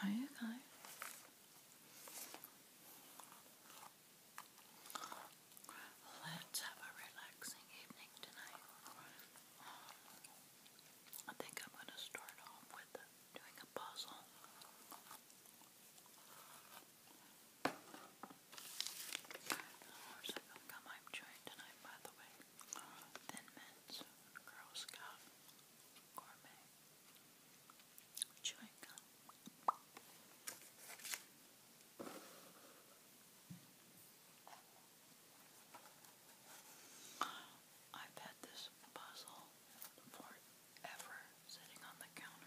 Are you guys? Let's have a relaxing evening tonight. I think I'm going to start off with doing a puzzle. Of course, I think I might join tonight, by the way. Thin Mints, Girl Scout, Gourmet, Chewing Gum. I've had this puzzle forever sitting on the counter.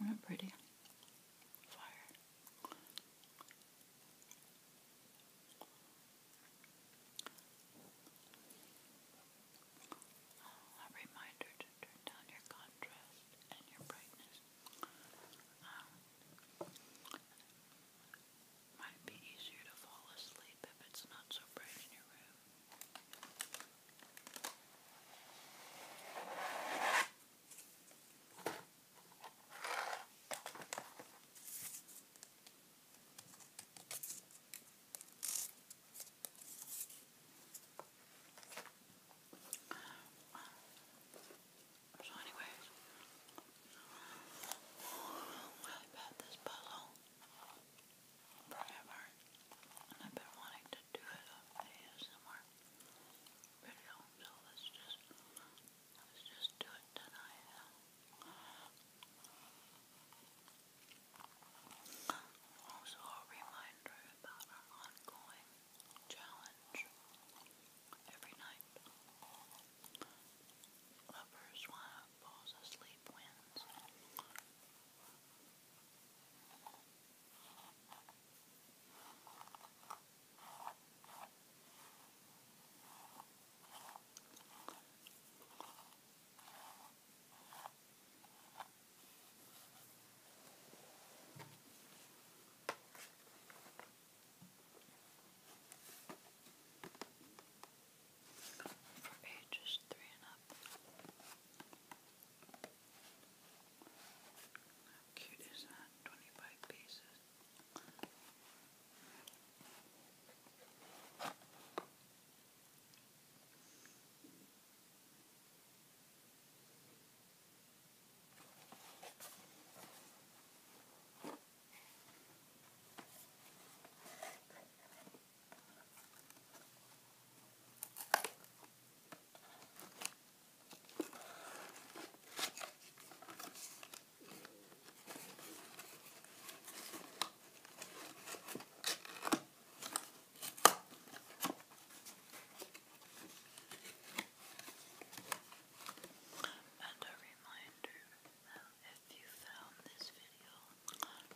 not pretty? Fire. Oh, a reminder to turn down your contrast and your brightness. Um, might be easier to fall asleep if it's not so bright in your room. So anyways, I bet this puzzle forever. And I've been wanting to do it on ASMR video, so let's just let's just do it tonight. Also a reminder about our ongoing challenge every night. Lovers wanna falls asleep wins. For ages three and a up. How cute is that? 25 pieces. And a reminder that uh, if you found this video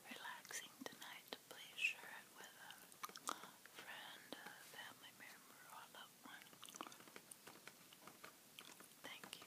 relaxing tonight, please share with a friend, a family member, or a loved one. Thank you.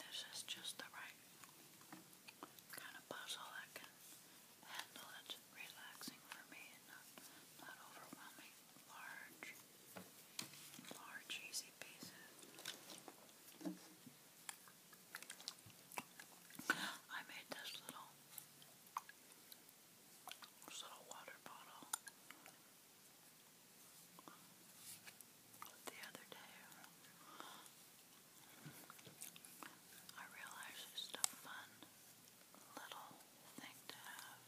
This is just the right kind of puzzle that can handle that's relaxing for me and not not overwhelming. Large, large, easy pieces. I made this little, this little water bottle the other day. I realized it's stuff fun little thing to have.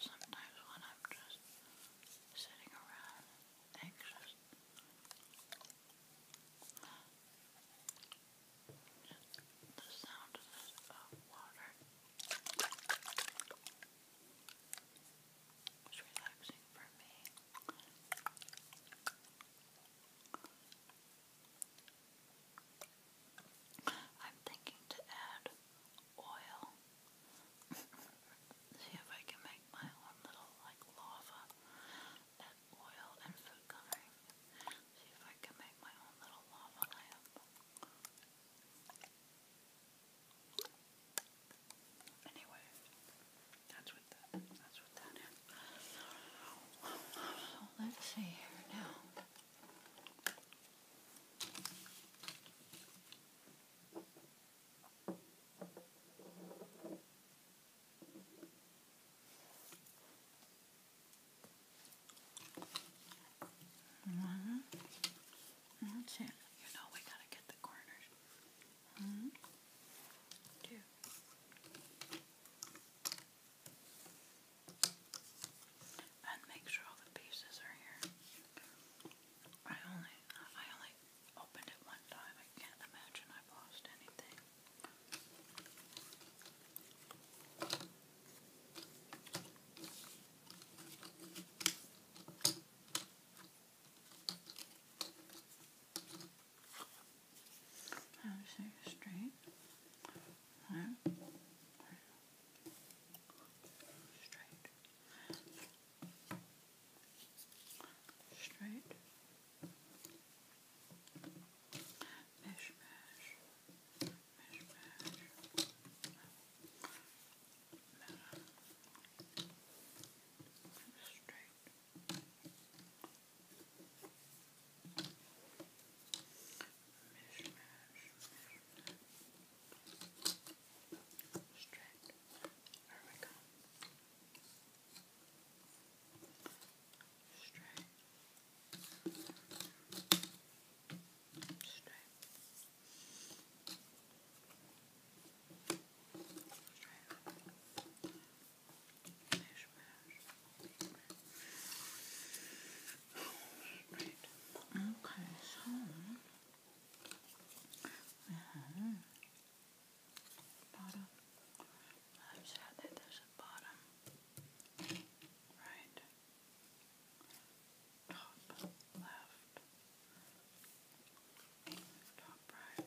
Sometimes when I'm just sitting around anxious, just the sound of water is relaxing for me. I'm thinking to add oil. See if I can make my own little like lava. Add oil and food coloring. See if I can make my own little lava lamp. Anyway, that's what that, that's what that is. So let's see here now. Mm -hmm. That's it. You know we gotta get the corners. Mm -hmm. Two. And make sure all the pieces are here. I only I only opened it one time. I can't imagine I've lost anything so straight. Right. Straight. Straight. Mesh, mesh. Straight. Mish, mash, straight. There we go. Straight. Straight. Straight. Straight. Smash, smash. Okay, so we have bottom. I'm sad that there's a bottom. Right. Top left. Top right.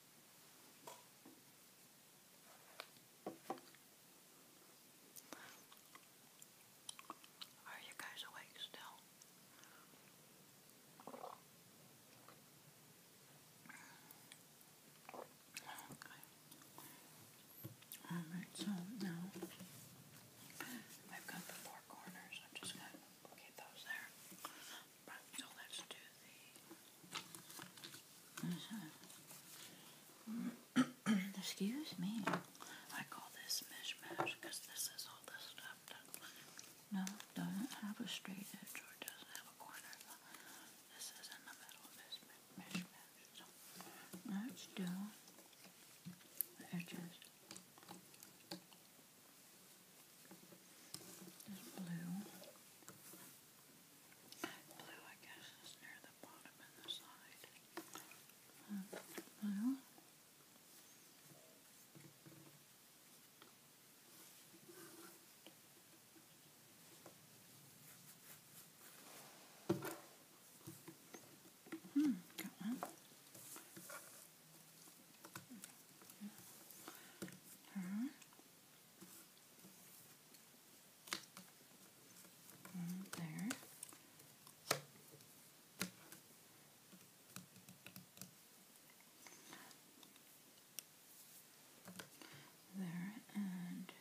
Are you guys awake still? Alright, so now I've got the four corners. I'm just going to get those there. Excuse me. I call this mishmash because this is all the stuff No, doesn't have a straight edge or doesn't have a corner. This is in the middle of this mishmash. let's do edges. There's blue. Blue, I guess, is near the bottom and the side. And blue. Hmm, got one. Her. There. There and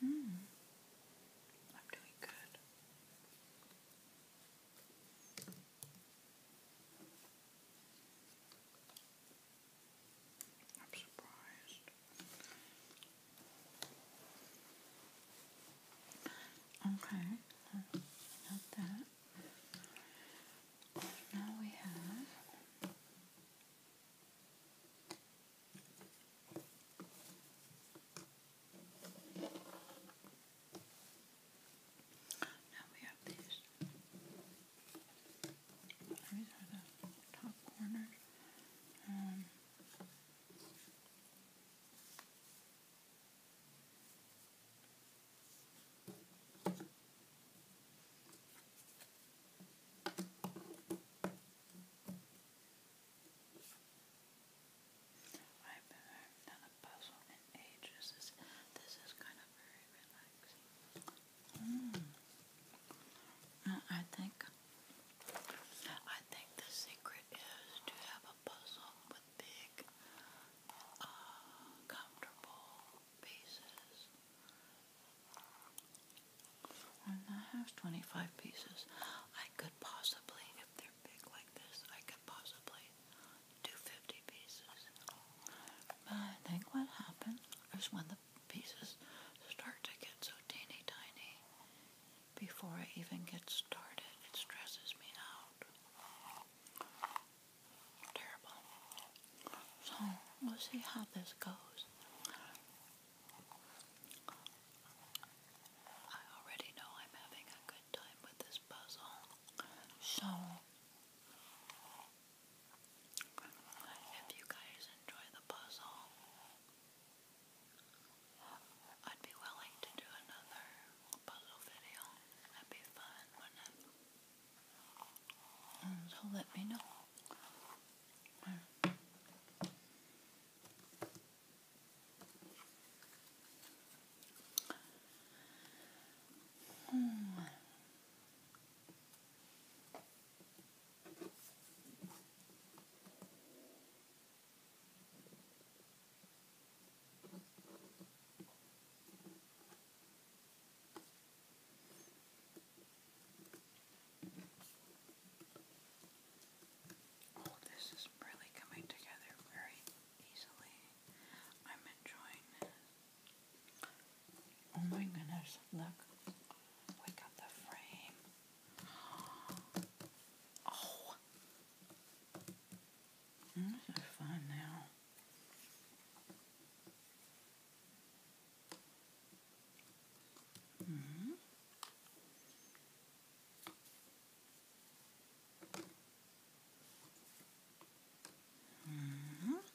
Hmm. I'm doing good. I'm Okay, not that. Now we have now we have these. These are I haven't done a puzzle in ages. This, is kind of very relaxing. Mm. Uh, I think I think the secret is to have a puzzle with big, uh, comfortable pieces. And I have 25 pieces. I could possibly, if they're big like this, I could possibly do 50 pieces. But I think what happened is when the pieces start to get so teeny tiny before I even get started. It stresses me out. Terrible. So we'll see how this goes. I already know I'm having a good time with this puzzle. So if you guys enjoy the puzzle, I'd be willing to do another puzzle video. That'd be fun, mm, so let me know. Hmm. Oh, this is really coming together very easily. I'm enjoying Oh my goodness, look. We got the frame. Oh. Mm, this is fun now. -hmm. -hmm.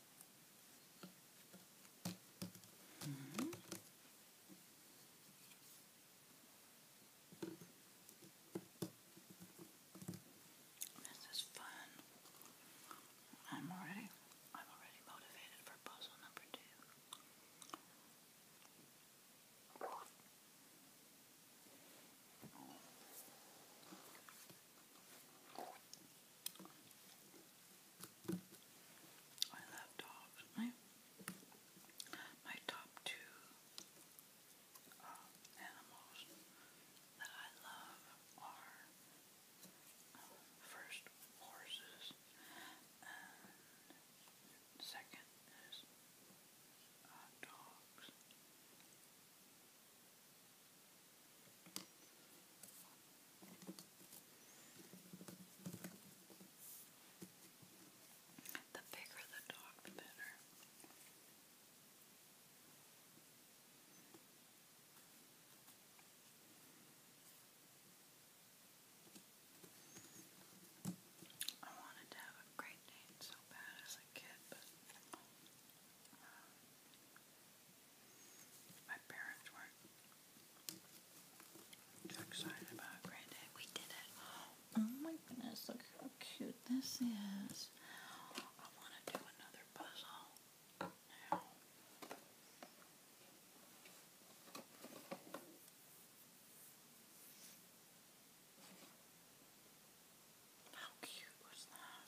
Mm -hmm. This is fun. I'm already I'm already motivated for puzzle number two. I love dogs. My, my top two uh, animals that I love are um, first horses and second is uh, dogs. The bigger the dog, the better. I wanted to have a Great Dane so bad as a kid, but um, my parents were so excited about Granddad. We did it. Oh my goodness, look how cute this is. I want to do another puzzle now. How cute was that?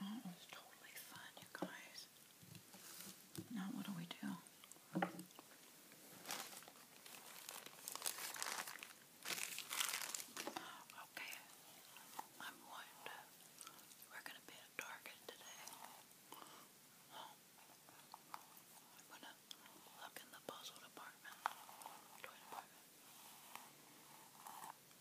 Oh, it was totally fun, you guys. Now what do we do? Okay, I'm going to, we're going to be at Target today. I'm going to look in the puzzle department.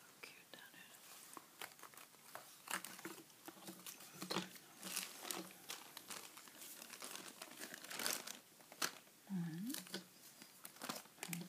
How cute that is. One. Okay. And Four.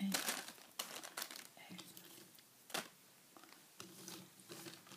and Thirteen, fourteen, fifteen,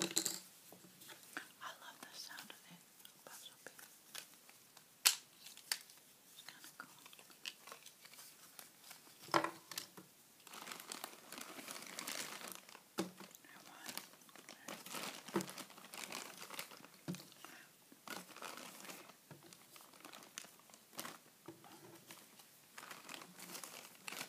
I love the sound of it. Puzzle It's kind of cool. I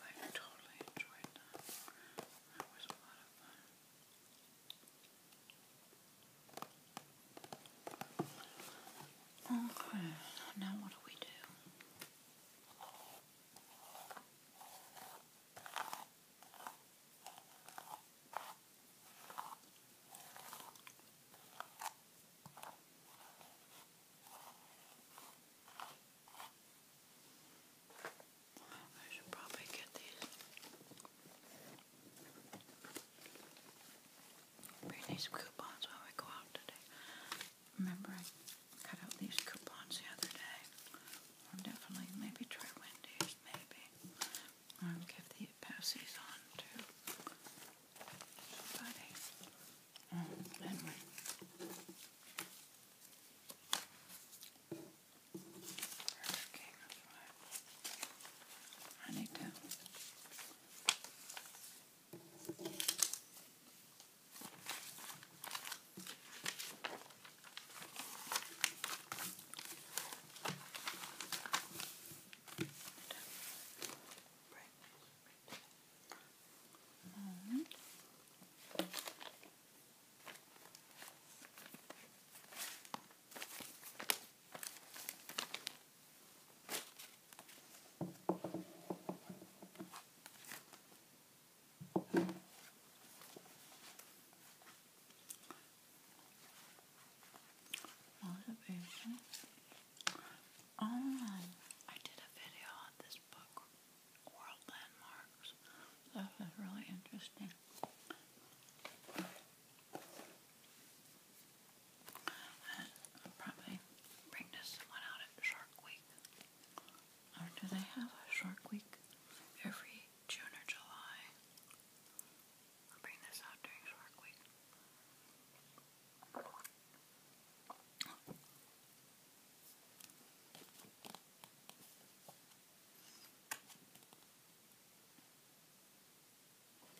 I've totally enjoyed that. That was a lot of fun. Okay, now what do we do? I should probably get these Britney's coupons when we go out today. Remember I cut out these coupons the other day. I'll definitely maybe try Wendy's, maybe. I'll give the pass on to somebody. Oh, anyway. Burger King, that's right. I need to. Right. Um, Motivation. Oh, I did a video on this book world landmarks. So this really interesting. probably bring this one out at Shark Week. Or do they have a Shark Week every June or July? I'll bring this out during Shark Week.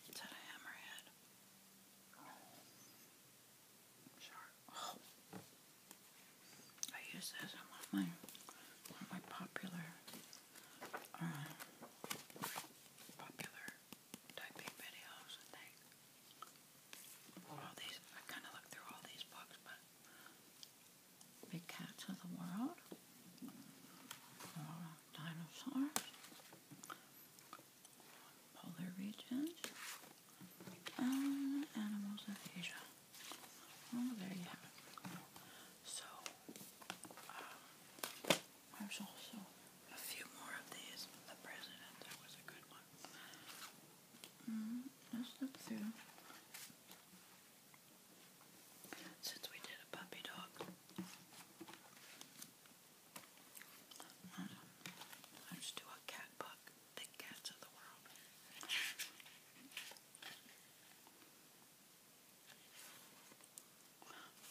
Is that a hammerhead? Shark. Oh. I use this on my my popular uh, popular typing videos and things. I kinda look through all these books but big cats of the world, dinosaurs, polar regions, animals of Asia. Well, oh, there you have it. So, um, there's also a few more of these. The president, was a good one. Mm, let's since we did a puppy dog, let's do a cat book, The Cats of the World.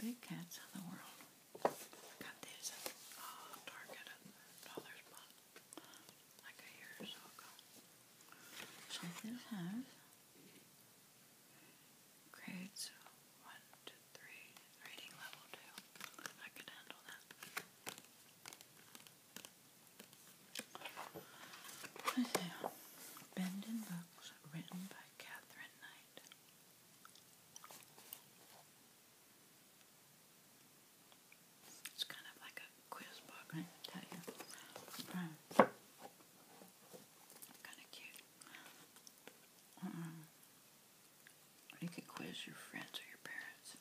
Big Cats of the World. Got these at uh, Target at Dollar Spot like a year or so ago. So we 1 to 3, reading level 2. I can handle that. Okay, Bend Books, written by Catherine Knight. It's kind of like a quiz book, I tell you. kind of cute. Uh-uh. you could quiz your friends or your parents.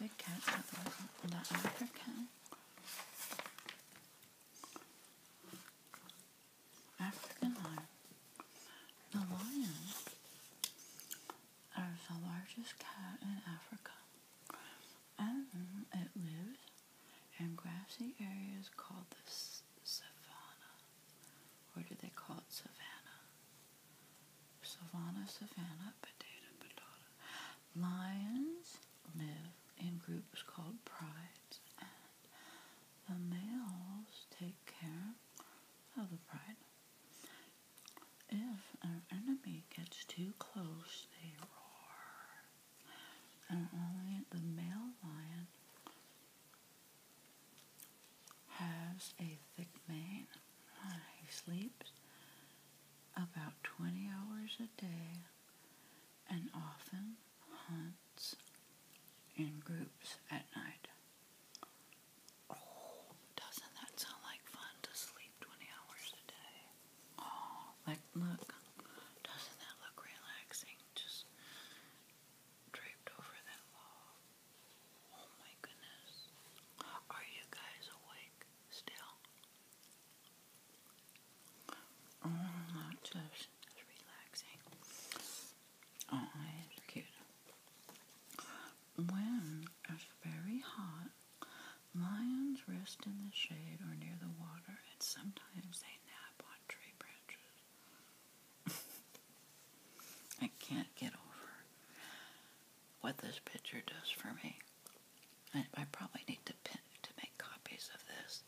Big cat, not that other cat. African lion. The lion is the largest cat in Africa, and it lives in grassy areas called the savanna. Or do they call it savannah? Savanna, savannah, potato, potato. Lions live in groups called prides, and the males take care of oh, the pride. If an enemy gets too close, they roar. And only the male lion has a thick mane. He sleeps about 20 hours a day and often hunts in groups at night. Oh, doesn't that sound like fun to sleep 20 hours a day? Oh, like, look. Doesn't that look relaxing? Just draped over that log. Oh my goodness. Are you guys awake still? Oh, that's just relaxing. Oh, it's cute. When it's very hot, lions rest in the shade or near the water, and sometimes they nap on tree branches. I can't get over what this picture does for me. I, probably need to pin to make copies of this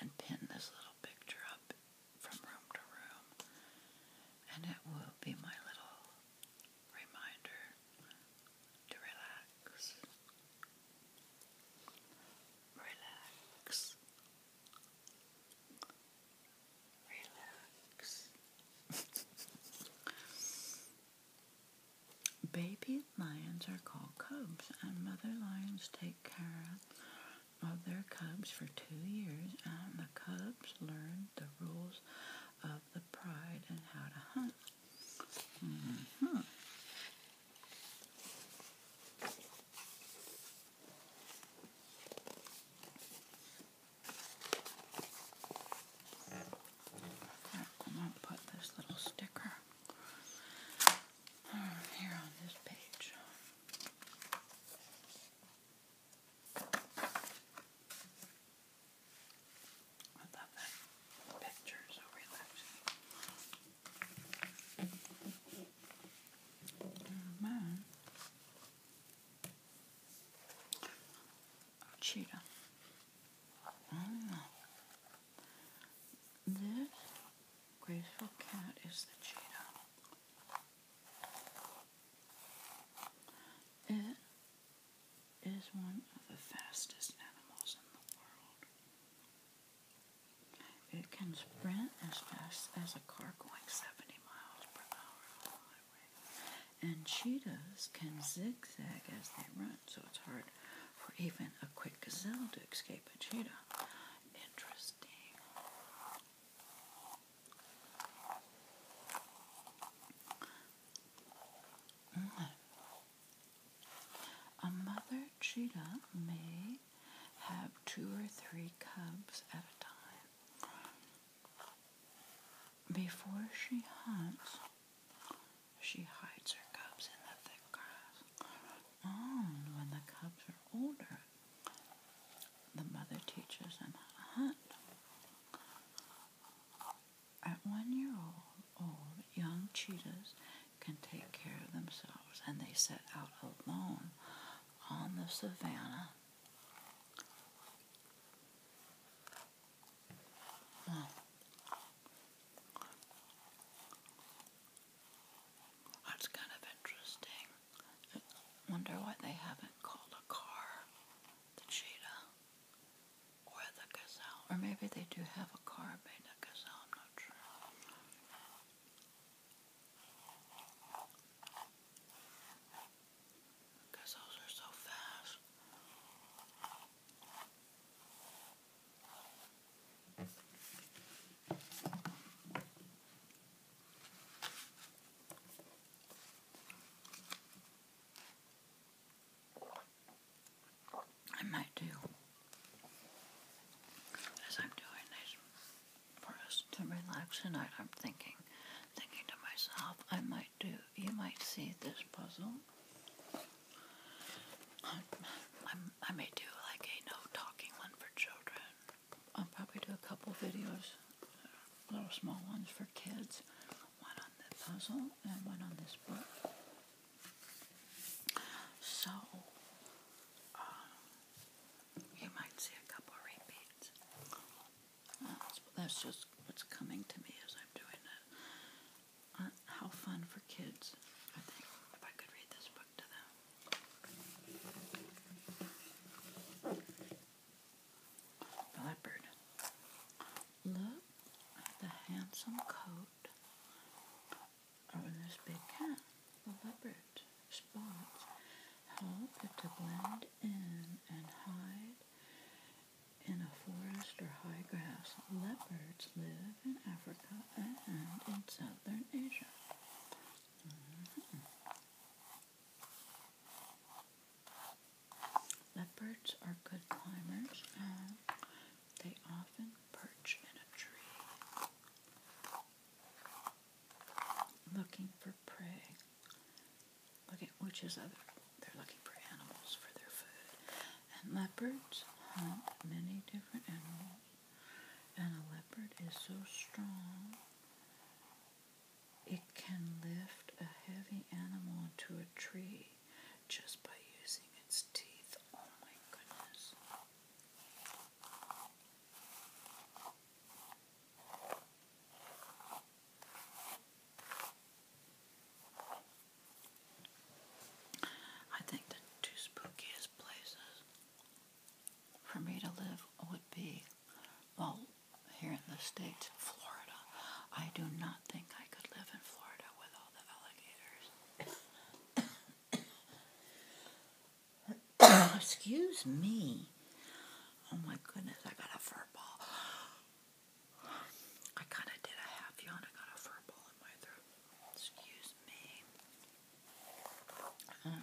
and pin this little picture up from room to room, and it will be my little reminder to relax. Relax. Relax. Baby lions are called cubs, and mother lions take care of of their cubs for two years, and the cubs learned the rules of the pride and how to hunt. Mm-hmm. I'm going to put this little sticker here on this page. I love that picture, so relaxing. Mm, mine. Oh, cheetah. Mm. This graceful cat is the cheetah. It is one of the fastest animals in the world. It can sprint as fast as a car going 70 miles per hour on the highway. And cheetahs can zigzag as they run, so it's hard for even a quick gazelle to escape a cheetah. Interesting. Mm. A mother cheetah may have two or three cubs at a time. Before she hunts, she hides her cubs in the thick grass. And when the cubs are older, the mother teaches in At one year old, old, young cheetahs can take care of themselves and they set out alone on the savannah. That's kind of interesting. Wonder why they haven't called a car the cheetah or the gazelle. Or maybe they do have a car made a gazelle, I'm not are so fast. I might do as I'm doing this for us to relax tonight. I'm thinking, thinking to myself, I might do. You might see this puzzle. I, I, I may do like a no talking one for children. I'll probably do a couple videos, little small ones for kids. One on the puzzle and one on this book. So, um, you might see a couple repeats. That's, just what's coming to me as I'm doing it. Uh, how fun for kids, I think, if I could read this book to them leopard. Look at the handsome coat of this big cat. The leopard spots help it to blend in and hide in a forest or high grass. Leopards live in Africa and in southern Asia. Mm-hmm. Leopards are good climbers. And um, they often perch in a tree looking for prey. Looking, which is other, they're looking for animals for their food. And leopards hunt many different animals. And a leopard is so strong it can lift a heavy animal to a tree just by using its teeth. Oh my goodness. I think the two spookiest places for me to live would be well, here in the States, Florida, I do not think I could live in Florida with all the alligators. Excuse me. Oh my goodness, I got a fur I kind of did a half yawn. I got a fur in my throat. Excuse me. Um,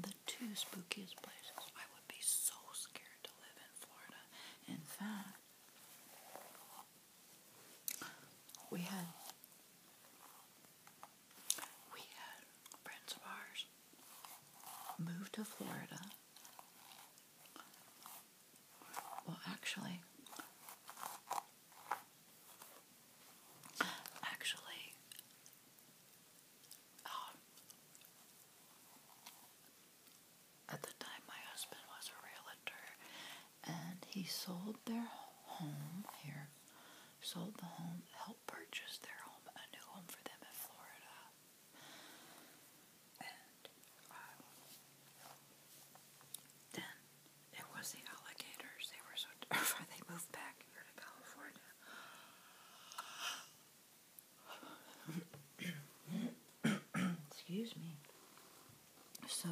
the two spookiest places I would be so scared live in Florida. In fact, we had we had friends of ours move to Florida. Well, actually, actually, um, at the time, my husband was a realtor, and he sold their home here, sold the home, helped purchase their home, a new home for them in Florida. And um, then it was the alligators. They were so They moved back here to California. Excuse me. So,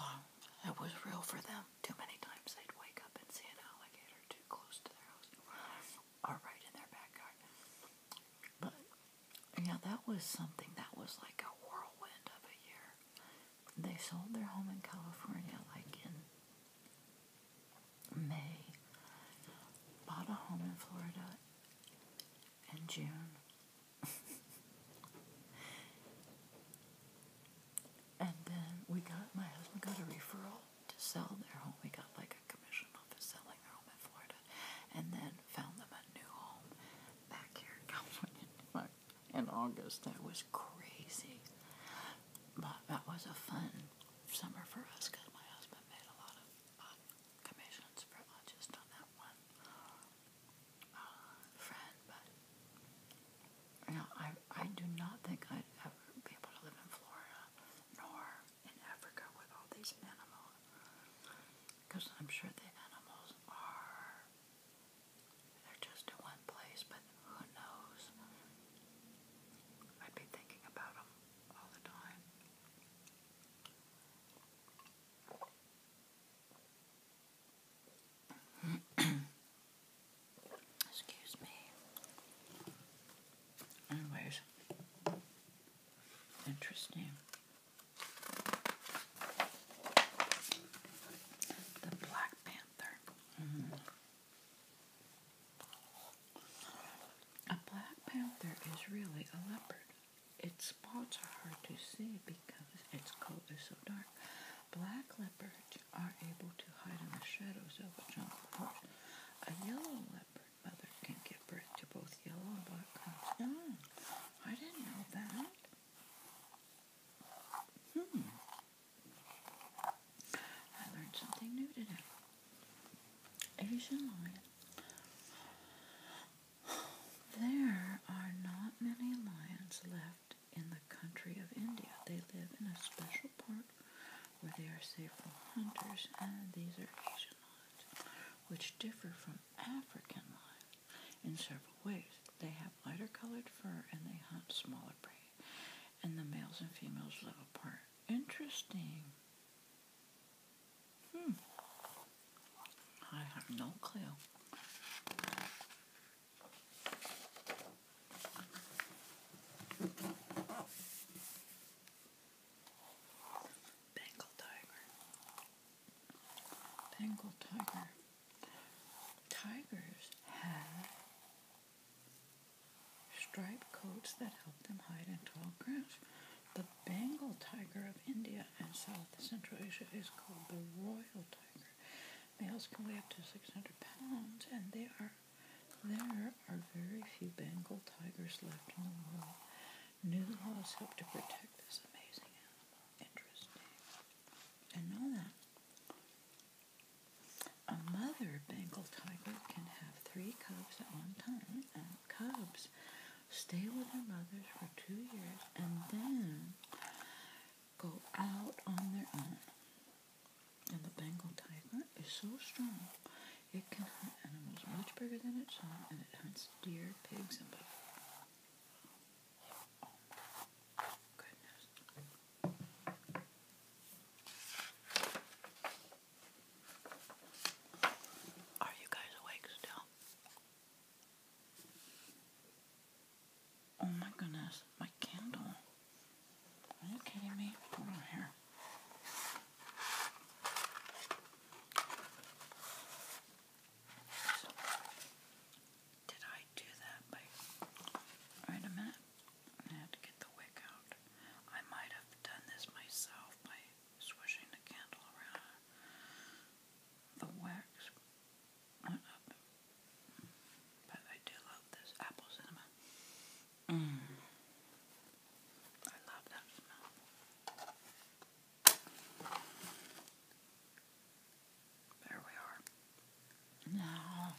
um, uh, it was real for them. Too many times they'd wake up and see an alligator too close to their house or right in their backyard. But, yeah, that was something that was like a whirlwind of a year. They sold their home in California like in May bought a home in Florida in June. and then we got my husband got a referral to sell their home. We got like a commission office selling their home in Florida. And then found them a new home back here in California in August. That was crazy. But that was a fun summer for us because my husband made a lot of uh, commissions for not uh, on that one uh, friend, but you know, I, I do not think I'd ever be able to live in Florida nor in Africa with all these animals because I'm sure the animals are. They're just in one place, but who knows? I'd be thinking about them Excuse me. Anyways, interesting. The Black Panther. -hmm. A black panther is really a leopard. Its spots are hard to see because its coat is so dark. Black leopards are able to hide in the shadows of a jungle forest. A yellow leopard mother can give birth to both yellow and black cubs. Hmm, I didn't know that. Hmm. I learned something new today. Asian lion. There are not many lions left in the country of India. They live in a special park where they are safe from hunters, and these are Asian lions, which differ from African lions in several ways. They have lighter colored fur and they hunt smaller prey, and the males and females live apart. Interesting. Hmm. I have no clue. Bengal tiger. Bengal tiger. Tigers have Striped coats that help them hide in tall grass. The Bengal tiger of India and South Central Asia is called the royal tiger. Males can weigh up to 600 pounds, and there are very few Bengal tigers left in the world. New laws help to protect this amazing animal. Interesting. And know that a mother Bengal tiger can have three cubs at one time, and cubs stay with their mothers for two years and then go out on their own. And the Bengal tiger is so strong, it can hunt animals much bigger than itself, and it hunts deer, pigs, and buffalo. goodness. Are you guys awake still? Oh my goodness, my candle. Are you kidding me? Hold here. did I do that by. Wait a minute had to get the wick out. I might have done this myself by swishing the candle around. The wax went up. But I do love this apple cinnamon. Mm. I love that smell. There we are. Now,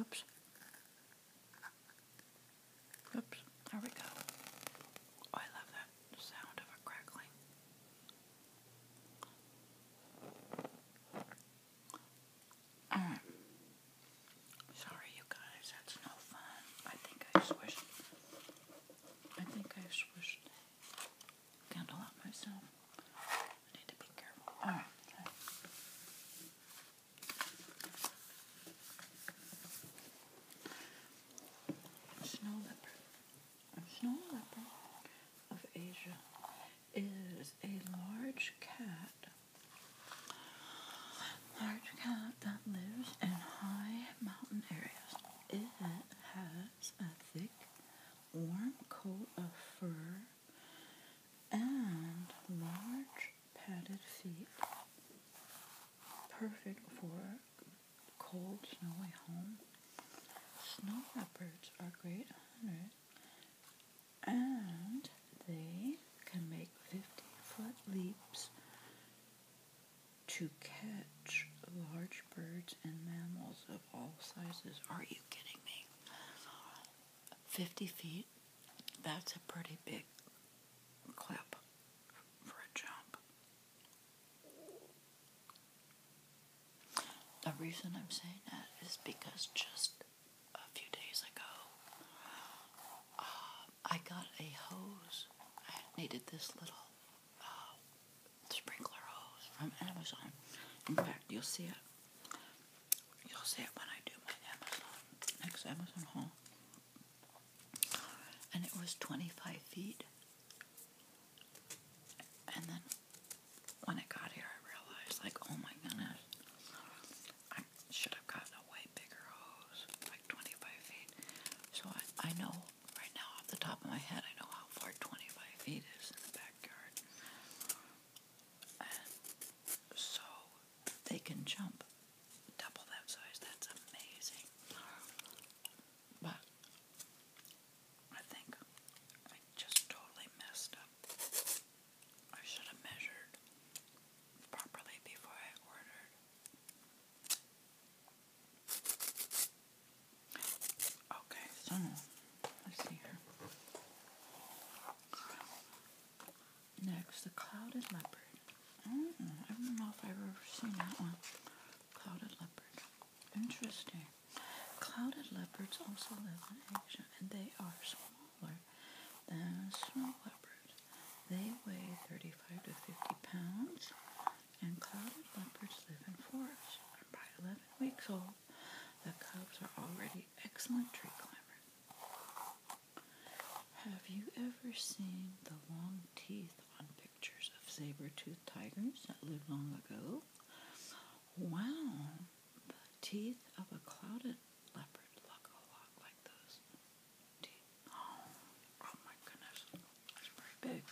oops. Oops, there we go. Oh, I love that sound of it crackling. sorry, you guys, that's no fun. I think I swished. I think I swished the candle out myself. I need to be careful. Alright. Snow leopard. snow leopard of Asia is a large cat. Large cat that lives in high mountain areas. It has a thick, warm coat of fur and large padded feet, perfect for cold, snowy home. Snow leopards are great hunters and they can make 50 foot leaps to catch large birds and mammals of all sizes. Are you kidding me? 50 feet that's a pretty big clip for a jump. The reason I'm saying that is because just a few days ago, uh, I got a hose. I needed this little uh, sprinkler hose from Amazon. In fact, you'll see it. You'll see it when I do my Amazon, next Amazon haul. And it was 25 feet. And then when I got here, I realized, like, oh my goodness, I should have gotten a way bigger hose, like 25 feet. So I, I know right now off the top of my head, I know how far 25 feet is in the backyard. And so they can jump double that size. That's amazing. But I think I just totally messed up. I should have measured properly before I ordered. Okay, so let's see here. Next, the Clouded Leopard. Mm, I don't know if I've ever seen that one. Clouded Leopard. Interesting. Clouded leopards also live in Asia, and they are smaller than snow leopards. They weigh 35 to 50 pounds, and clouded leopards live in forests. By 11 weeks old, the cubs are already excellent tree climbers. Have you ever seen the long teeth on pictures of saber-toothed tigers that lived long ago? Wow, the teeth of a clouded leopard look a lot like those teeth. Oh, my goodness, that's very big.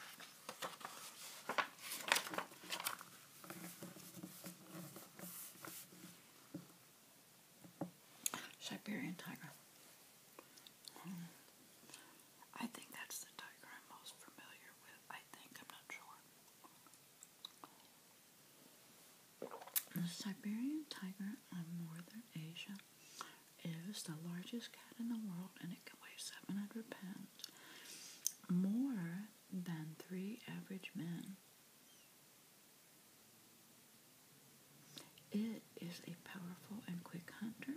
Siberian tiger. Hmm. I think that's the tiger I'm most familiar with. I think, I'm not sure. The Siberian tiger of northern Asia is the largest cat in the world and it can weigh 700 pounds, more than three average men. It is a powerful and quick hunter,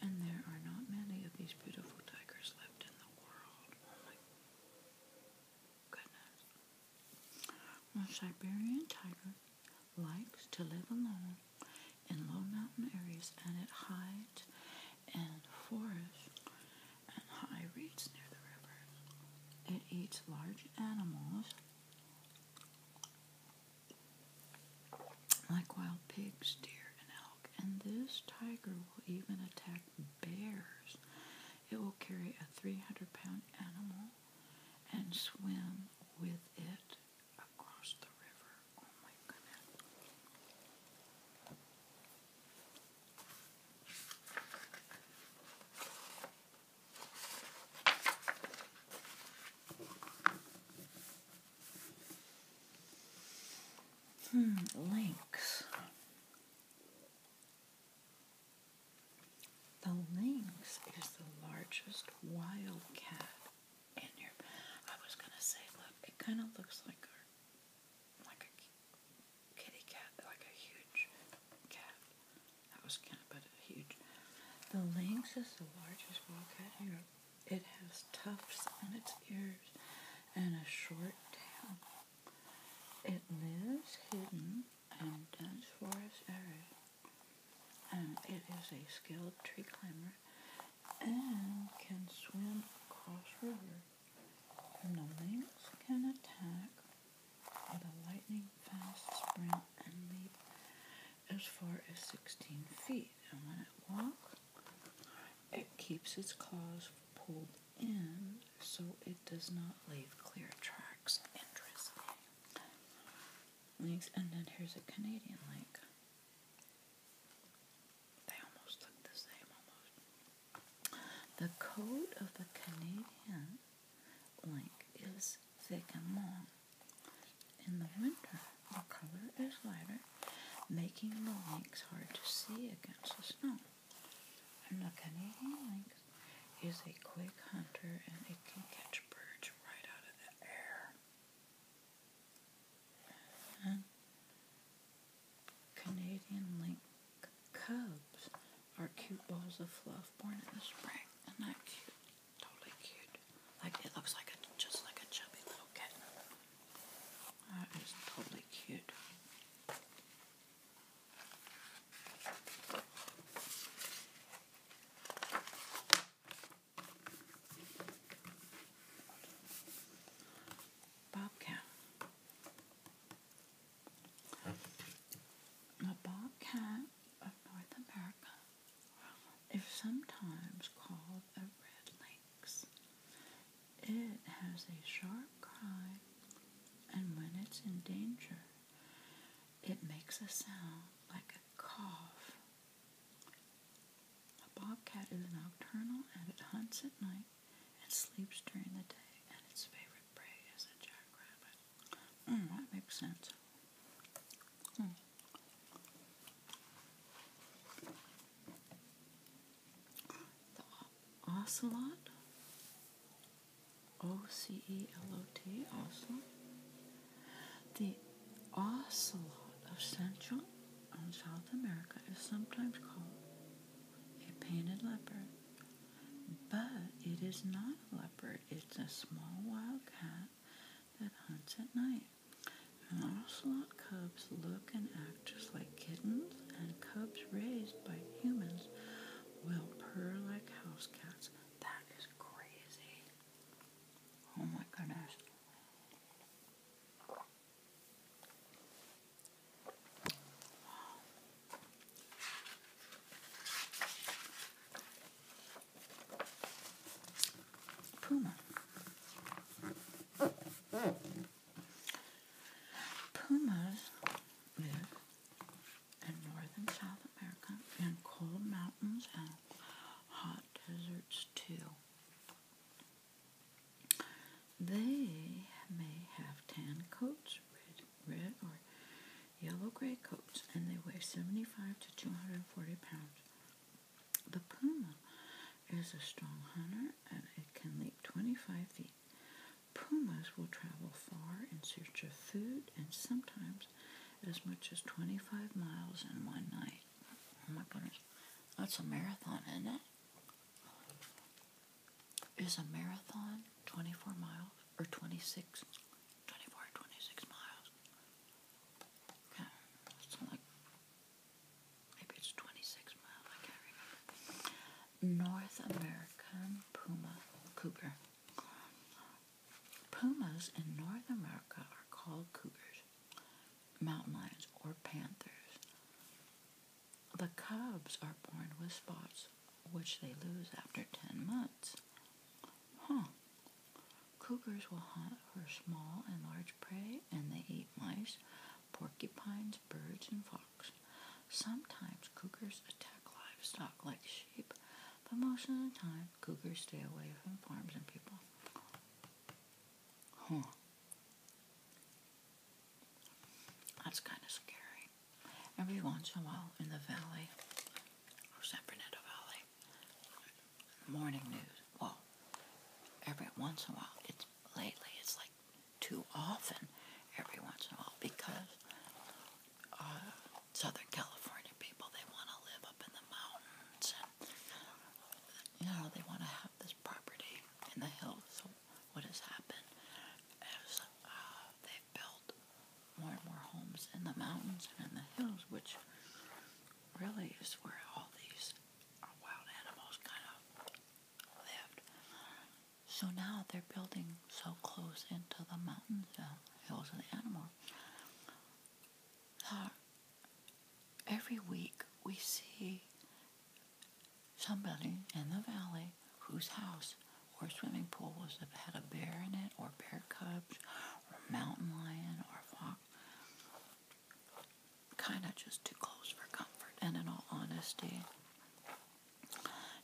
and there are not many of these beautiful tigers left in the world. Oh my goodness. The Siberian tiger likes to live alone in low mountain areas and it hides in forests and high reeds near the river. It eats large animals like wild pigs, deer, and elk. And this tiger will even attack bears. It will carry a 300 pound animal and swim with it across the river. Oh my goodness. Hmm, links. The lynx is the largest wildcat in your. I was gonna say, look, it kind of looks like a, like a kitty cat, like a huge cat, that was kind of a huge. The lynx is the largest wildcat here. It has tufts on its ears and a short tail. It lives hidden in dense forest areas. And it is a skilled tree climber and can swim across rivers. the lynx can attack with a lightning fast sprint and leap as far as 16 feet. And when it walks, it keeps its claws pulled in so it does not leave clear tracks. Interesting. and then here's a Canadian link. They almost look the same, almost. The coat of the Canadian Blank is thick and long. In the winter, the color is lighter, making the lynx hard to see against the snow. And the Canadian lynx is a quick hunter and it can catch birds right out of the air. Canadian lynx cubs are cute balls of fluff born in the spring. Isn't that cute? Totally cute. Like it looks like a just like a chubby little kitten. That is totally cute. Bobcat. A bobcat of North America is sometimes called a red lynx. It has a sharp cry, and when it's in danger, it makes a sound like a cough. A bobcat is nocturnal and it hunts at night and sleeps during the day, and its favorite prey is a jackrabbit. Mm, that makes sense. Hmm. The ocelot, O C E L O T, ocelot. The ocelot of Central and South America is sometimes called a painted leopard but it is not a leopard, it's a small wild cat that hunts at night. And ocelot cubs look and act just like kittens, and cubs raised by humans will purr like house cats. That is crazy. Oh my goodness. Puma. Pumas live in northern South America in cold mountains and hot deserts too. They may have tan coats, red or yellow gray coats, and they weigh 75 to 240 pounds. The puma is a strong hunter and it can leap 25 feet. Pumas will travel far in search of food and sometimes as much as 25 miles in one night. Oh my goodness, that's a marathon, isn't it? Is a marathon 24 miles or 26? 24 miles. Yeah, it's like maybe it's 26 miles, I can't remember. North American Puma Cougar. Pumas in North America are called cougars, mountain lions, or panthers. The cubs are born with spots, which they lose after 10 months huh. Cougars will hunt for small and large prey, and they eat mice, porcupines, birds, and fox. Sometimes cougars attack livestock like sheep, but most of the time cougars stay away from farms and people. Huh. That's kind of scary. Every once in a while in the valley, or San Fernando Valley morning news. Well, every once in a while, it's lately, it's like too often every once in a while because uh, Southern California people, they want to live up in the mountains and, you know, they want to have this property in the hills. So what has happened is uh, they've built more and more homes in the mountains and in the hills, which really is where all these wild animals kind of lived. So now they're building so close into the mountains and hills of the animals. Uh, every week we see somebody in the valley whose house or swimming pool has had a bear in it or bear cubs a mountain lion or a fox. Kind of just too close for comfort, and in all honesty,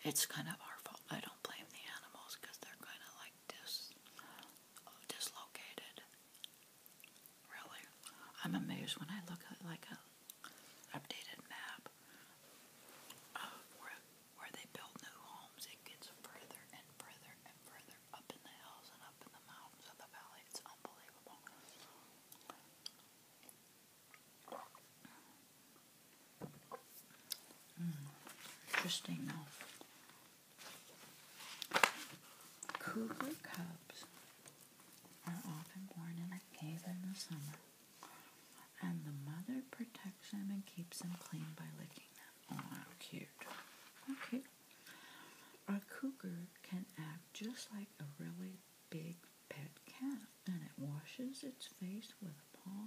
it's kind of our fault. I don't blame the animals because they're kind of like dis, dislocated. Really, I'm amazed when I look at like a updated map of where where they build new homes, it gets further and further and further up in the hills and up in the mountains of the valley. It's unbelievable. Hmm. interesting enough, Cougar cubs are often born in a cave in the summer, and the mother protects them and keeps them clean by licking them. Oh, ah, how cute. Okay. A cougar can act just like a really big pet cat, and it washes its face with a paw,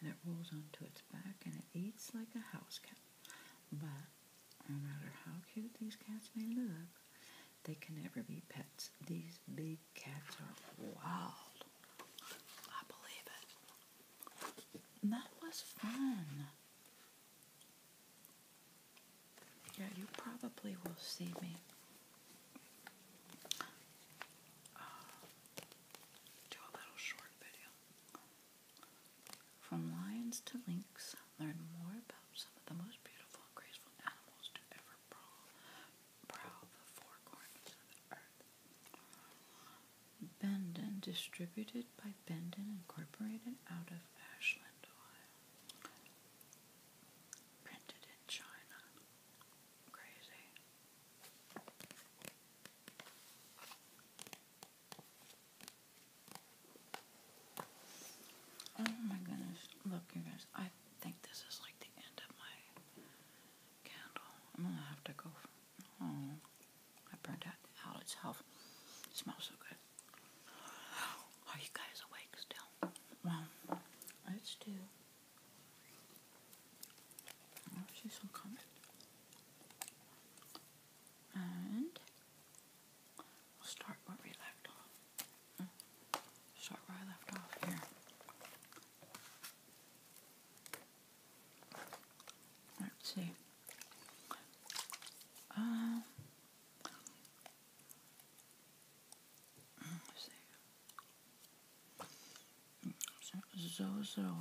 and it rolls onto its back, and it eats like a house cat. But no matter how cute these cats may look, they can never be pets. These big cats are wild. I believe it that was fun. Yeah, you probably will see me uh, do a little short video. From lions to lynx, learn more about some of the most beautiful graceful animals to ever prowl the four corners of the earth. Benden, distributed by Benden Incorporated out of Ashland, Ohio. Printed in China. Crazy. Oh my goodness. Look, you guys, I think this is like the end of my candle. I'm gonna have to go. Oh, I burned out the owl itself. It smells so good. Oh, are you guys awake still? Well, let's do. she's still coming. And start where we left off. Start where I left off here. Let's see. Uh, Zozo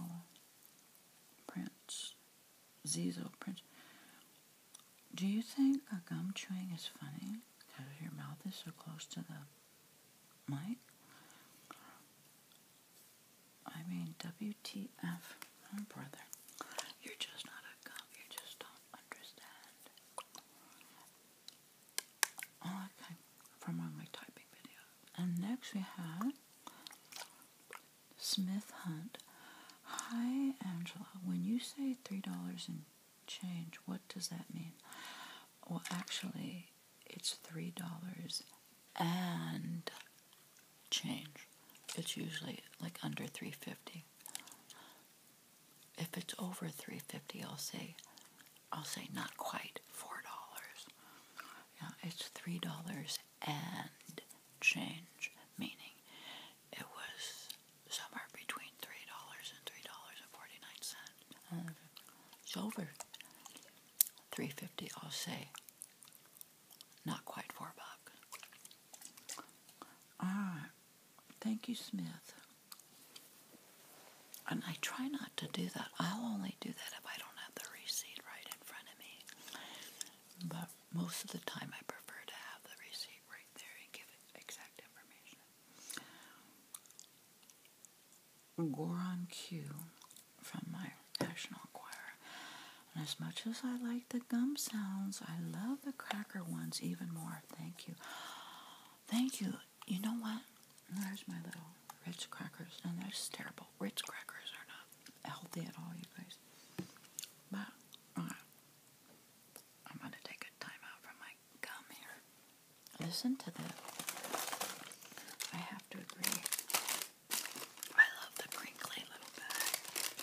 Prince. Zizo Prince. Do you think gum chewing is funny? Because your mouth is so close to the mic? I mean, WTF, my brother. You're just not a cop. You just don't understand. okay, from on my typing video. And next we have Smith Hunt. Hi, Angela. When you say $3 and change, what does that mean? Well, actually, it's three dollars and change. It's usually like under three fifty. If it's over three fifty, I'll say, I'll say not quite four dollars. Yeah, it's three dollars and change, meaning it was somewhere between three dollars and three dollars and forty nine cents. It's over three fifty. I'll say not quite four buck. All right. Thank you, Smith. And I try not to do that. I'll only do that if I don't have the receipt right in front of me. But most of the time, I prefer to have the receipt right there and give it exact information. Goron Q from my National choir, And as much as I like the gum sounds, I love the cracker ones even more. Thank you. Thank you. You know what? There's my little Ritz crackers, and those are terrible. Ritz crackers are not healthy at all, you guys. But uh, I'm gonna take a time from my gum here. Listen to this. I have to agree. I love the crinkly little bag.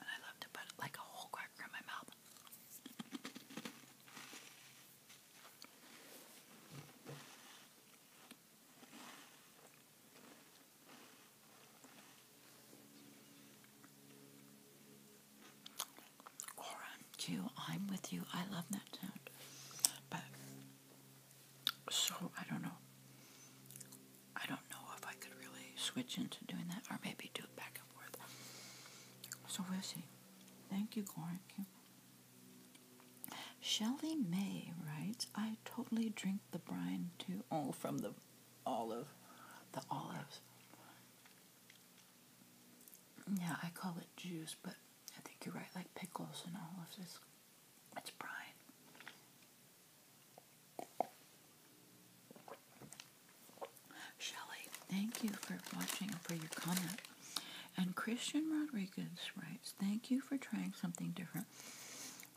And I love to put like a whole cracker in my mouth. Or I'm with you. I love that sound. But so I don't know. I don't know if I could really switch into doing that or maybe do it back and forth. So we'll see. Thank you, Gloria. Shelley May writes, I totally drink the brine too. Oh, from the olive. The olives. Yeah, I call it juice, but I think you're right, like pickles and all of this." It's Brian. Shelly, thank you for watching and for your comment. And Christian Rodriguez writes, thank you for trying something different.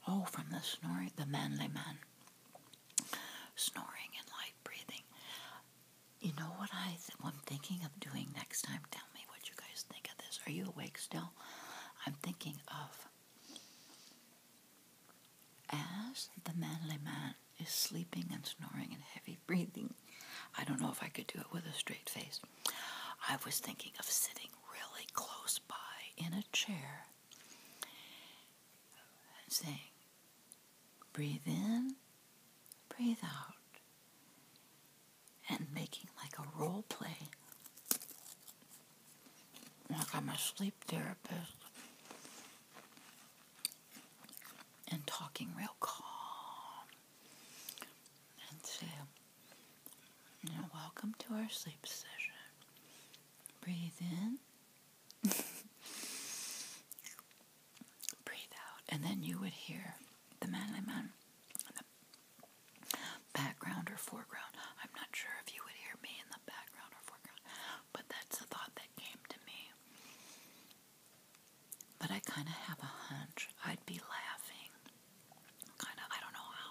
Oh, from the snoring, the manly man. Snoring and light breathing. You know what I'm thinking of doing next time? Tell me what you guys think of this. Are you awake still? I'm thinking of as the manly man is sleeping and snoring and heavy breathing. I don't know if I could do it with a straight face. I was thinking of sitting really close by in a chair and saying, breathe in, breathe out and making like a role play. Like I'm a sleep therapist and talking real calm and say, you are welcome to our sleep session. Breathe in. Breathe out. And then you would hear the manly man background or foreground. I'm not sure if you would hear me in the background or foreground, but that's the thought that came to me. But I kind of have a hunch I'd be laughing. Kind of, I don't know how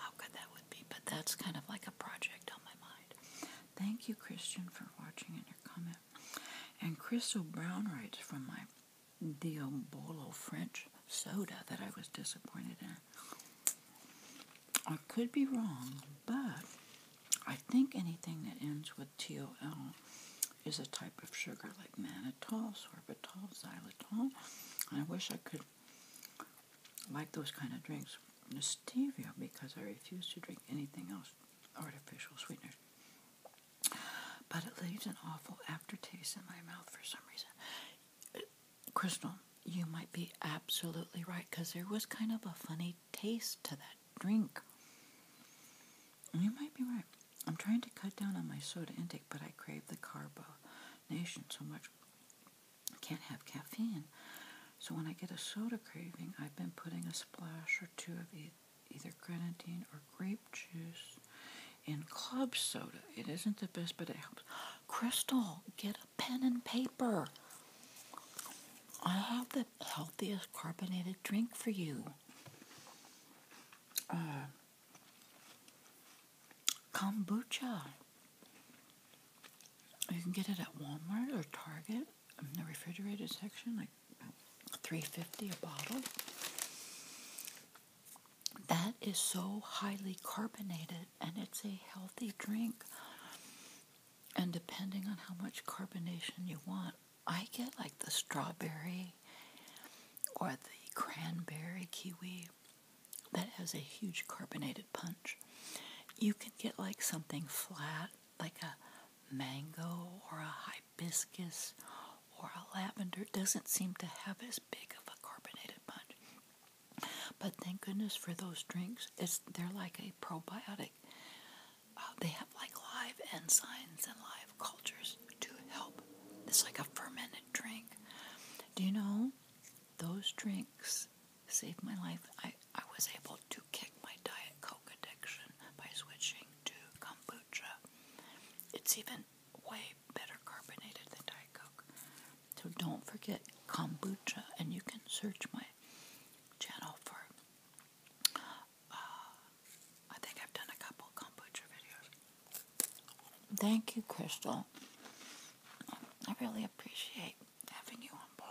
how good that would be, but that's kind of like a project on my mind. Thank you, Christian, for watching and your comment. And Crystal Brown writes from my Diabolo French soda that I was disappointed in. I could be wrong, but I think anything that ends with TOL is a type of sugar like mannitol, sorbitol, xylitol. I wish I could like those kind of drinks. Stevia, because I refuse to drink anything else artificial sweeteners. But it leaves an awful aftertaste in my mouth for some reason. Crystal, you might be absolutely right because there was kind of a funny taste to that drink. You might be right. I'm trying to cut down on my soda intake, but I crave the carbonation so much. I can't have caffeine. So when I get a soda craving, I've been putting a splash or two of either grenadine or grape juice in club soda. It isn't the best, but it helps. Crystal, get a pen and paper. I have the healthiest carbonated drink for you. Uh, kombucha. You can get it at Walmart or Target in the refrigerated section, like 350 a bottle that is so highly carbonated and it's a healthy drink. And depending on how much carbonation you want, I get like the strawberry or the cranberry kiwi that has a huge carbonated punch. You can get like something flat, like a mango or a hibiscus or a lavender doesn't seem to have as big of a carbonated punch. But thank goodness for those drinks. It's they're like a probiotic. Uh, they have like live enzymes and live cultures to help. It's like a fermented drink. Do you know those drinks saved my life? I, I was able to kick my Diet Coke addiction by switching to kombucha. It's even way better carbonated than Diet Coke. So don't forget kombucha, and you can search my channel for. Uh, I think I've done a couple kombucha videos. Thank you, Crystal. I really appreciate having you on board.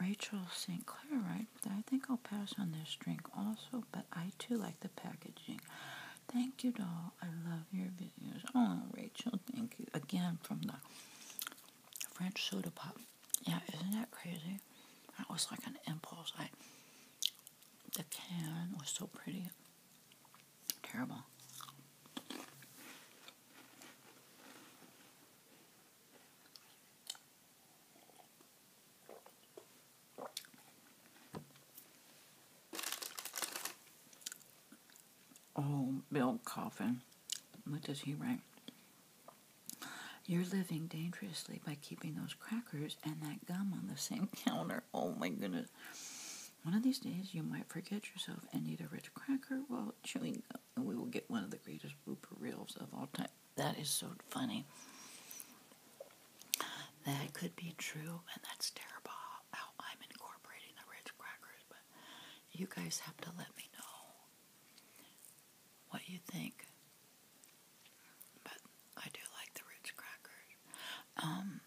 Rachel St. Clair, right? I think I'll pass on this drink also, but I too like the packaging. Thank you, doll. I love your videos. Oh, Rachel, thank you. Again, from the French soda pop. Yeah, isn't that crazy? That was like an impulse. I The can was so pretty. Terrible. Oh, Bill Coffin. What does he write? You're living dangerously by keeping those crackers and that gum on the same counter. Oh my goodness. One of these days you might forget yourself and eat a rich cracker while chewing gum, and we will get one of the greatest blooper reels of all time. That is so funny. That could be true, and that's terrible how I'm incorporating the Ritz crackers, but you guys have to let me know what you think. But I do like the Ritz crackers. Um,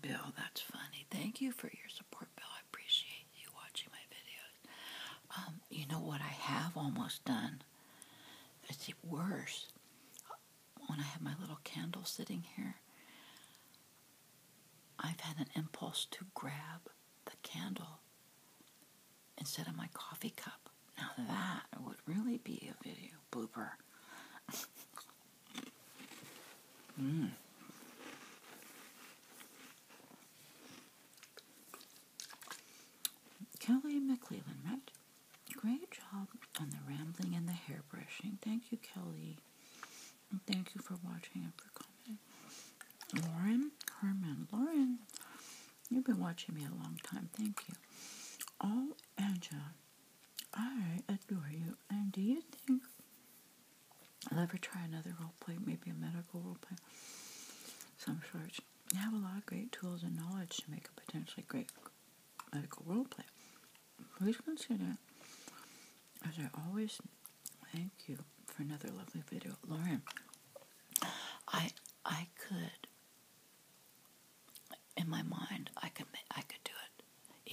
Bill, that's funny. Thank you for your support, Bill. I appreciate you watching my videos. Um, you know what I have almost done? It's worse when I have my little candle sitting here, I've had an impulse to grab the candle instead of my coffee cup. Now that would really be a video blooper. Hmm. Kelly McClellan, right? Great job on the rambling and the hair brushing. Thank you, Kelly. And thank you for watching and for commenting. Lauren Carmen, Lauren, you've been watching me a long time. Thank you. Oh, Angela, I adore you. And do you think I'll ever try another role play, maybe a medical role play? Some sort. You have a lot of great tools and knowledge to make a potentially great medical role play. Please consider, as I always thank you for another lovely video. Lauren, I I could in my mind I could I could do it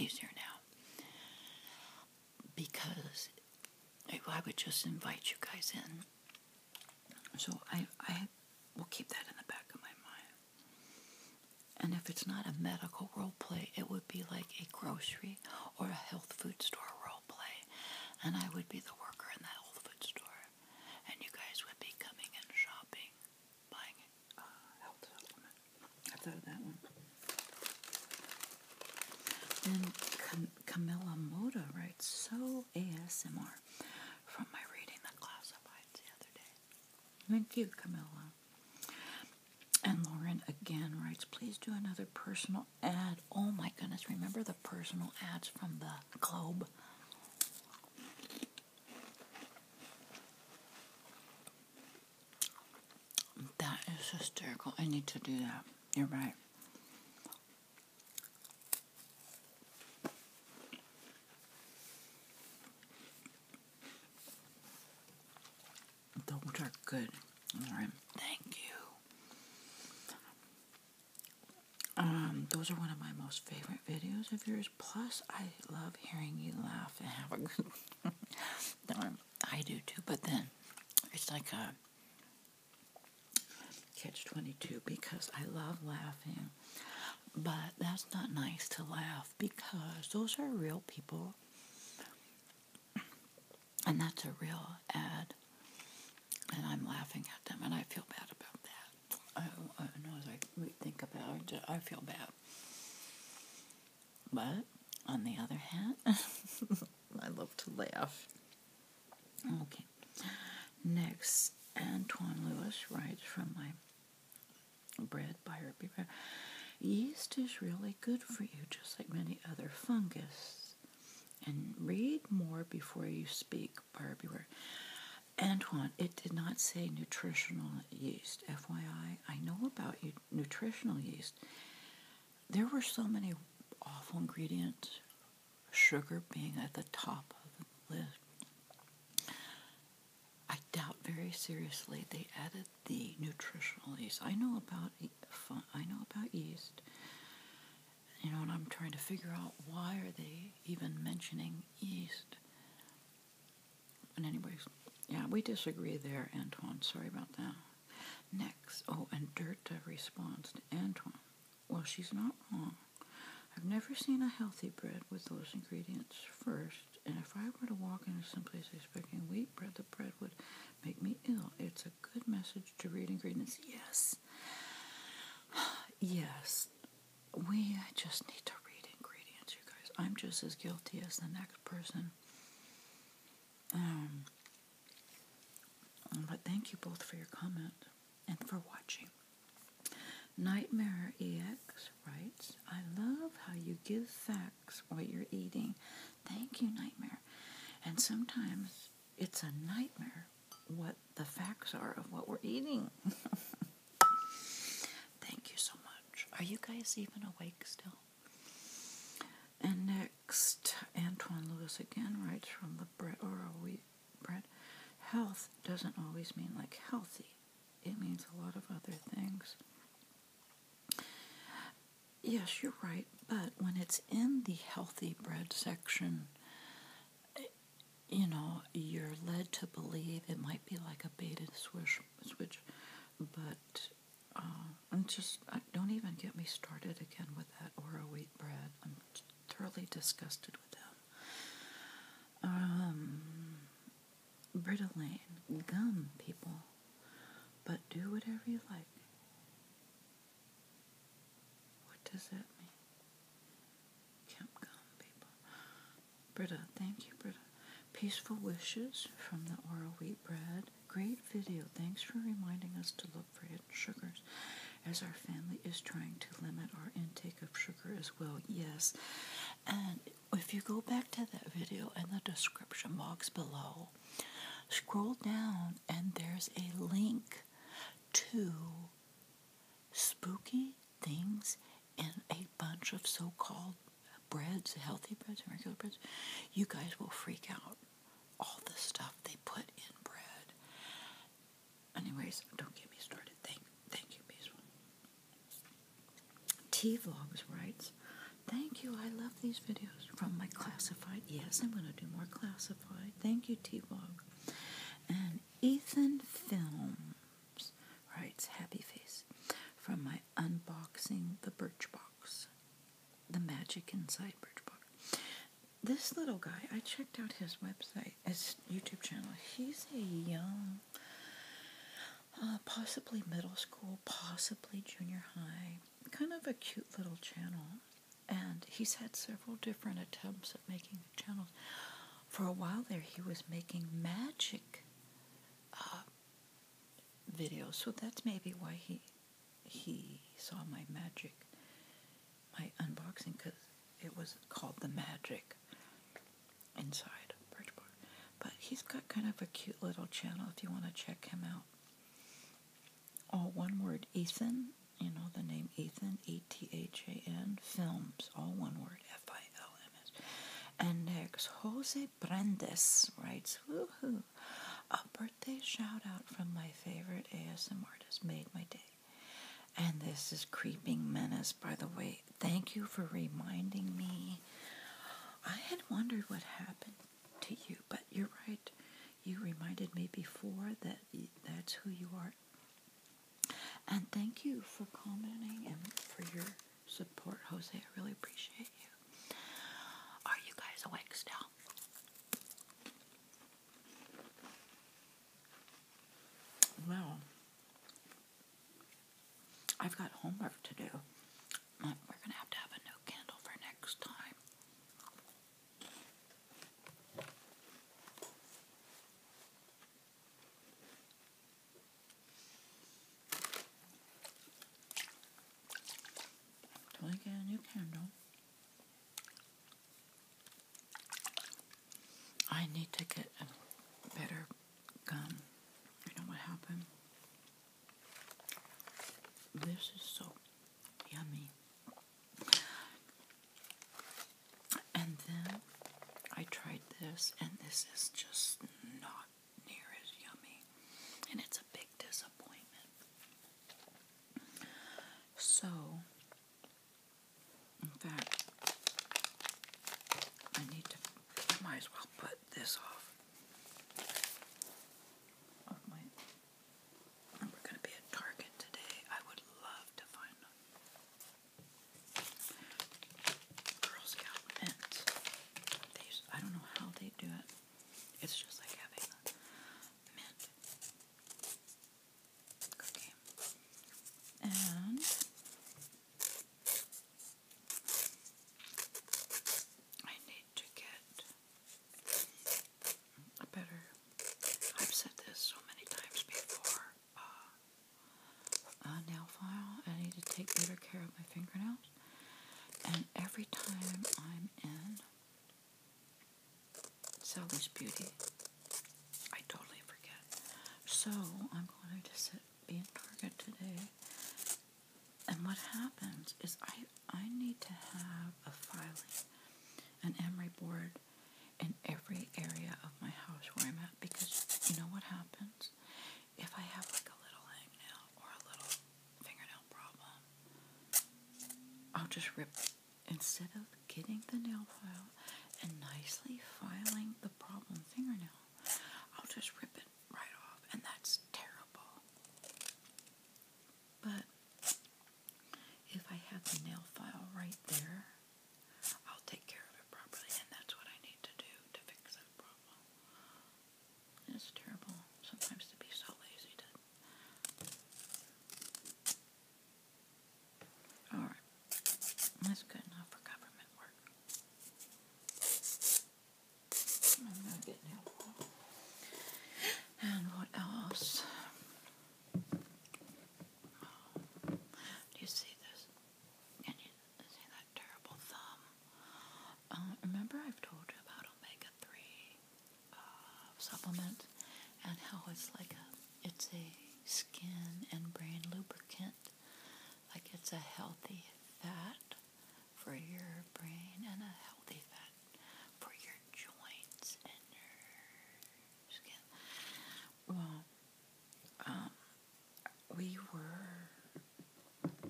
easier now because I would just invite you guys in. So I I will keep that in the back of my mind. And if it's not a medical role play, it would be like a grocery or a health food store role play. And I would be the worker in that health food store. And you guys would be coming and shopping, buying uh, health supplement. I thought of that one. Then Camilla Moda writes, so ASMR from my reading the classifieds the other day. Thank you, Camilla. And Lauren again writes, please do another personal ad. Oh my goodness, remember the personal ads from the Globe? That is hysterical. I need to do that. You're right. Those are good. Lauren, thank you. Um, those are one of my most favorite videos of yours. Plus, I love hearing you laugh and have a good. time. I do too. But then, it's like a catch twenty two because I love laughing, but that's not nice to laugh because those are real people. And that's a real ad. And I'm laughing at them and I feel bad about that. I, know as I think about it, I feel bad. But on the other hand, I love to laugh. Okay. Next, Antoine Lewis writes from my bread by her. Yeast is really good for you, just like many other fungus. And read more before you speak, Buyer Antoine, it did not say nutritional yeast. FYI, I know about nutritional yeast. There were so many awful ingredients, sugar being at the top of the list. I doubt very seriously they added the nutritional yeast. I know about I know about yeast. You know, and I'm trying to figure out why are they even mentioning yeast. And anyways, yeah, we disagree there, Antoine. Sorry about that. Next, oh, and Dirta responds to Antoine. Well, she's not wrong. I've never seen a healthy bread with those ingredients first, and if I were to walk into some place expecting wheat bread, the bread would make me ill. It's a good message to read ingredients. Yes. Yes. We just need to read ingredients, you guys. I'm just as guilty as the next person. Um, but thank you both for your comment and for watching. Nightmare EX writes, I love how you give facts what you're eating. Thank you, Nightmare. And sometimes it's a nightmare what the facts are of what we're eating. Thank you so much. Are you guys even awake still? And next, Antoine Lewis again writes from the bread or a wheat bread. Health doesn't always mean like healthy it means a lot of other things. Yes, you're right, but when it's in the healthy bread section, you know, you're led to believe it might be like a beta switch, switch but uh, I'm just, don't even get me started again with that Ora wheat bread. I'm thoroughly disgusted with them. Um, Britolane, gum, people. But do whatever you like. What does that mean? gum, people. Britta, thank you, Britta. Peaceful wishes from the oral wheat bread. Great video. Thanks for reminding us to look for hidden sugars as our family is trying to limit our intake of sugar as well. Yes. And if you go back to that video in the description box below, scroll down and there's a link to spooky things and a bunch of so called breads, healthy breads, and regular breads. You guys will freak out. All the stuff they put in bread. Anyways, don't get me started. Thank, thank you, Basil. T Vlogs writes, Thank you, I love these videos from my classified. Yes, I'm going to do more classified. Thank you, T Vlog. And Ethan Films writes, Happy Face from my unboxing the Birchbox, the magic inside Birchbox. This little guy, I checked out his website, his YouTube channel. He's a young uh, possibly middle school, possibly junior high. Kind of a cute little channel. And he's had several different attempts at making the channels. For a while there, he was making magic uh, videos, so that's maybe why he he saw my magic, my unboxing, because it was called the magic inside Bridgeport. But he's got kind of a cute little channel if you want to check him out. All one word, Ethan, you know the name Ethan, E T H A N, films, all one word, F I L M S. And next, Jose Brandes writes, hoo! a birthday shout out from my favorite ASMR artist made my day. And this is Creeping Menace, by the way thank you for reminding me. I had wondered what happened to you, but you're right. You reminded me before that that's who you are. And thank you for commenting and for your support, Jose. I really appreciate you. Are you guys awake still? Well, I've got homework to do. We're gonna have to have a new candle for next time. Until get a new candle, I need to get a better you know what happened? This is so yummy. And then I tried this, and this is just not near as yummy. And it's a big disappointment. So, in fact, I need to, might as well put this off. We're going to be at Target today. I would love to find them. Girl Scout mints. I don't know how they do it. It's just like having mint cookie. And I need to get a better. I've said this so many times before. Uh, a nail file. I need to take better care of my fingernails. And every time I'm in Sally's Beauty, I totally forget. So I'm going to sit be in Target today. And what happens is I I need to have a filing, an emery board in every area of my house where I'm at because you know what happens? If I have like a little hang hangnail or a little fingernail problem, I'll just rip instead of getting the nail file and nicely filing the problem fingernail. I'll just rip it right off, and that's terrible. But if I have the nail file right there, I'll take care of it properly, and that's what I need to do to fix that problem. It's terrible sometimes to be so lazy to. Alright, that's good enough for government work. I'm not getting help. And what else? do you see this? Can you see that terrible thumb? Um, remember, I've told you about omega three uh, supplement and how it's like a it's a skin and brain lubricant like it's a healthy fat for your brain and a healthy fat for your joints and your skin. Well, um, we were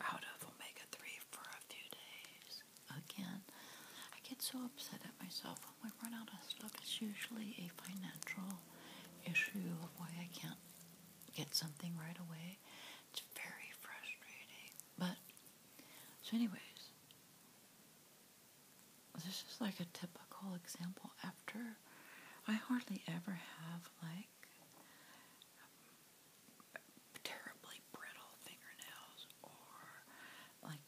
out of omega 3 for a few days. Again, I get so upset at myself when we run out of stuff. It's usually a financial issue of why I can't get something right away. It's very frustrating. But, so, anyways, this is like a typical example after I hardly ever have like terribly brittle fingernails or like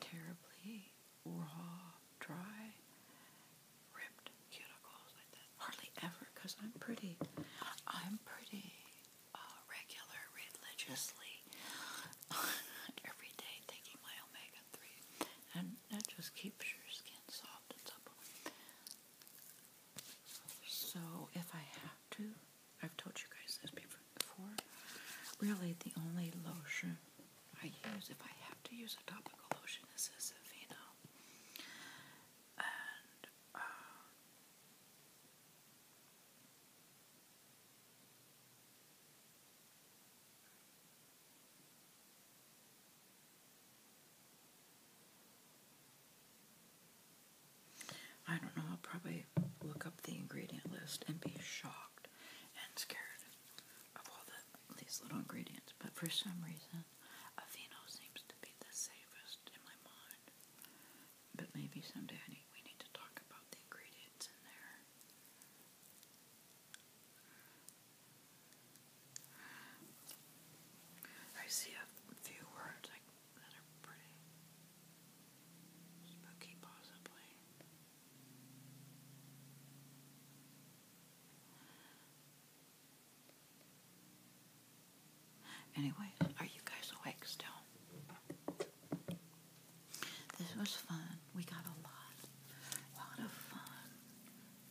terribly raw, dry ripped cuticles like that. Hardly ever, because I'm pretty. I'm pretty uh, regular, religiously, every day taking my omega-3. And that just keeps your skin soft and supple. So if I have to, I've told you guys this before, really the only lotion I use, if I have to use a topical lotion, is this Aveeno. Uh, I don't know, I'll probably look up the ingredient list and be shocked and scared of all these little ingredients. But for some reason, Aveeno seems to be the safest in my mind. But maybe someday we need to talk about the ingredients in there. I see a few words that are pretty spooky, possibly. Anyway, are you guys awake still? This was fun. We got a lot, lot of fun,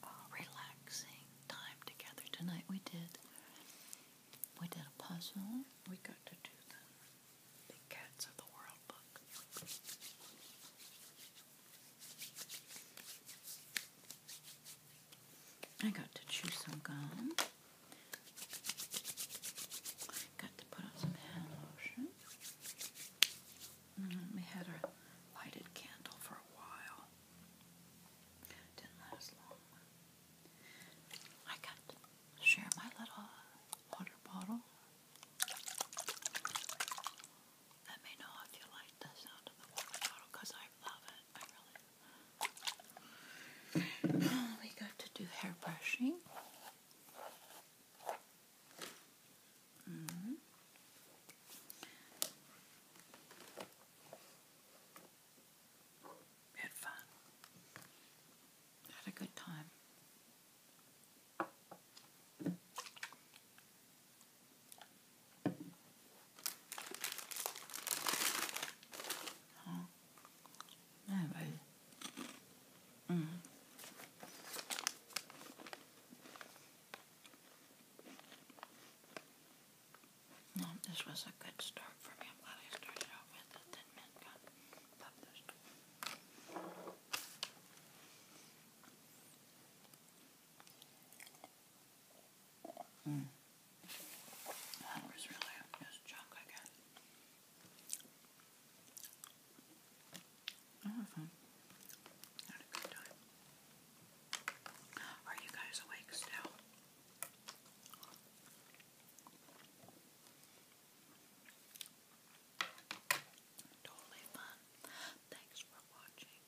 uh, relaxing time together tonight. We did, we did a puzzle. We got to do the Big Cats of the World book. I got to chew some gum. Got to put on some hand lotion. And mm, we had lighted candle for a while. Didn't last long. I got to share my little water bottle. Let me know if you like the sound of the water bottle I love it. Oh, we got to do hair brushing. Mm-hmm. had fun. Had a good time. Ja. Nej, vad No, this was a good start for me. I'm glad I started out with it and then Mm. That was really just junk, I guess. I oh, had Had a good time. Are you guys awake still? Totally fun. Thanks for watching.